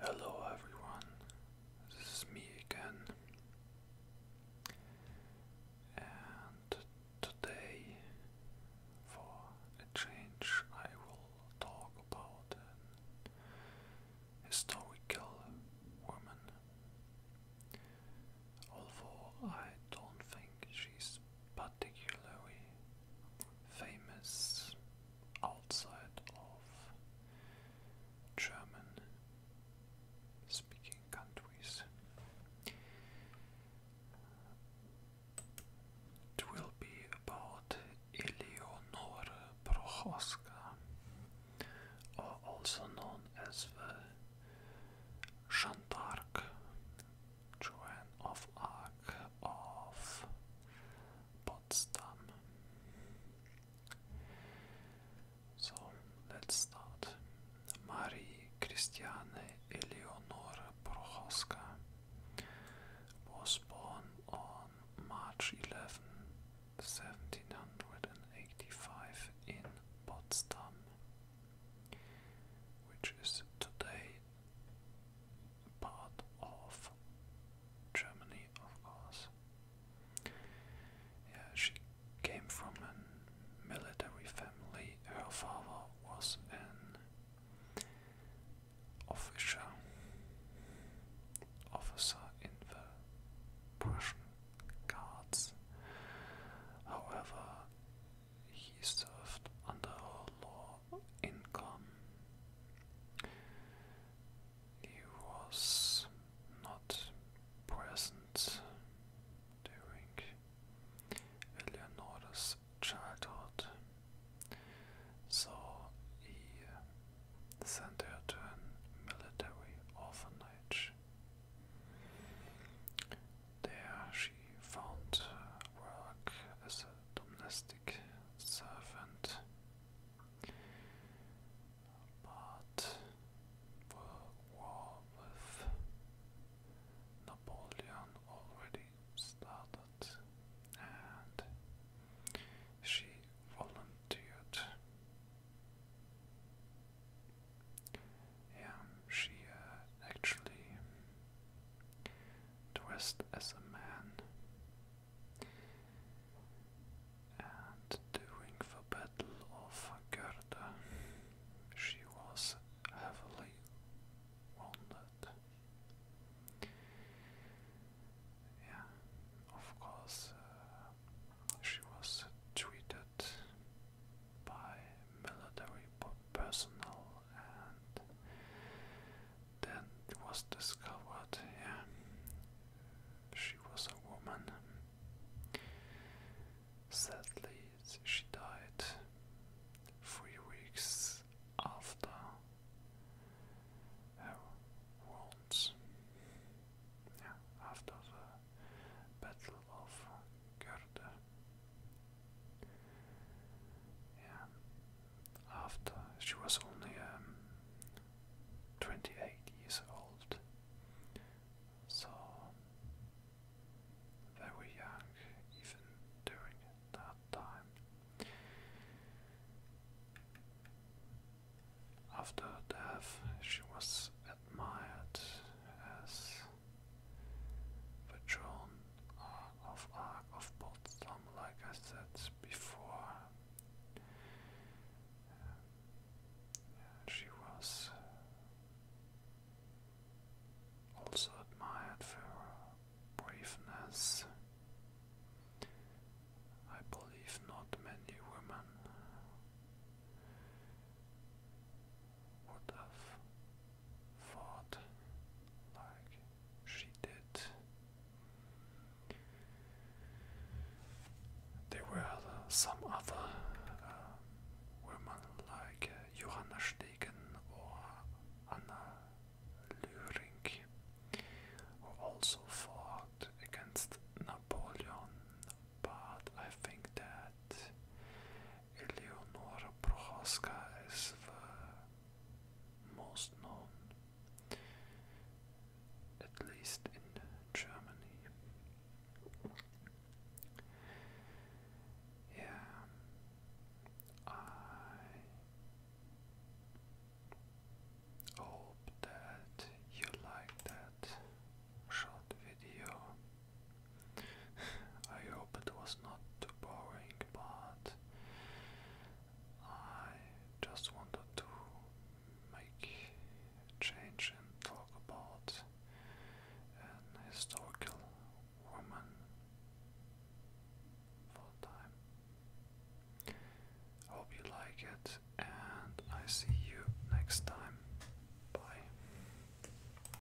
Hello, everyone. This is me again. And today, for a change, I will talk about historical woman. Although I don't think she's particularly famous outside of German speaking countries. It will be about Eleonore Prochaska, also known as the Jeanne d'Arc, Joan of Arc of Potsdam. So let's start. Marie Christiane Eleonore Prochaska was born on March 11, 1785 in Potsdam, which is today part of Germany, of course. Yeah, she came from a military family. Her father was an officer, officer in the Prussian Guards. However, he served under low income. He was not present during Eleanor's childhood, so he sent her to a military orphanage. There she found work as a domestic servant, but the war with Napoleon already started, and she volunteered. Yeah, she uh, actually to as a man, and during the Battle of Gerda, she was heavily wounded. Yeah, of course, uh, she was treated by military personnel, and then it was discovered, yeah, she was a woman. Sadly, she died three weeks after her wounds. Yeah, after the Battle of Gerde. Yeah. After she was only um, 28 years old, so very young even during that time. After death, she was admired as Patron of Ark of Potsdam, like I said before. She was also admired for her braveness. I believe not many women would have fought like she did. There were some other uh, women like uh, Johanna Stegen or Anna Lüring, who also fought against Napoleon, but I think that Leonora Prochaska is the most known, at least in Germany. Yeah, I hope that you like that short video. I hope it was not too boring, but I just wanted to make change and talk about an historical woman for time. Hope you like it, and I see you next time. Bye.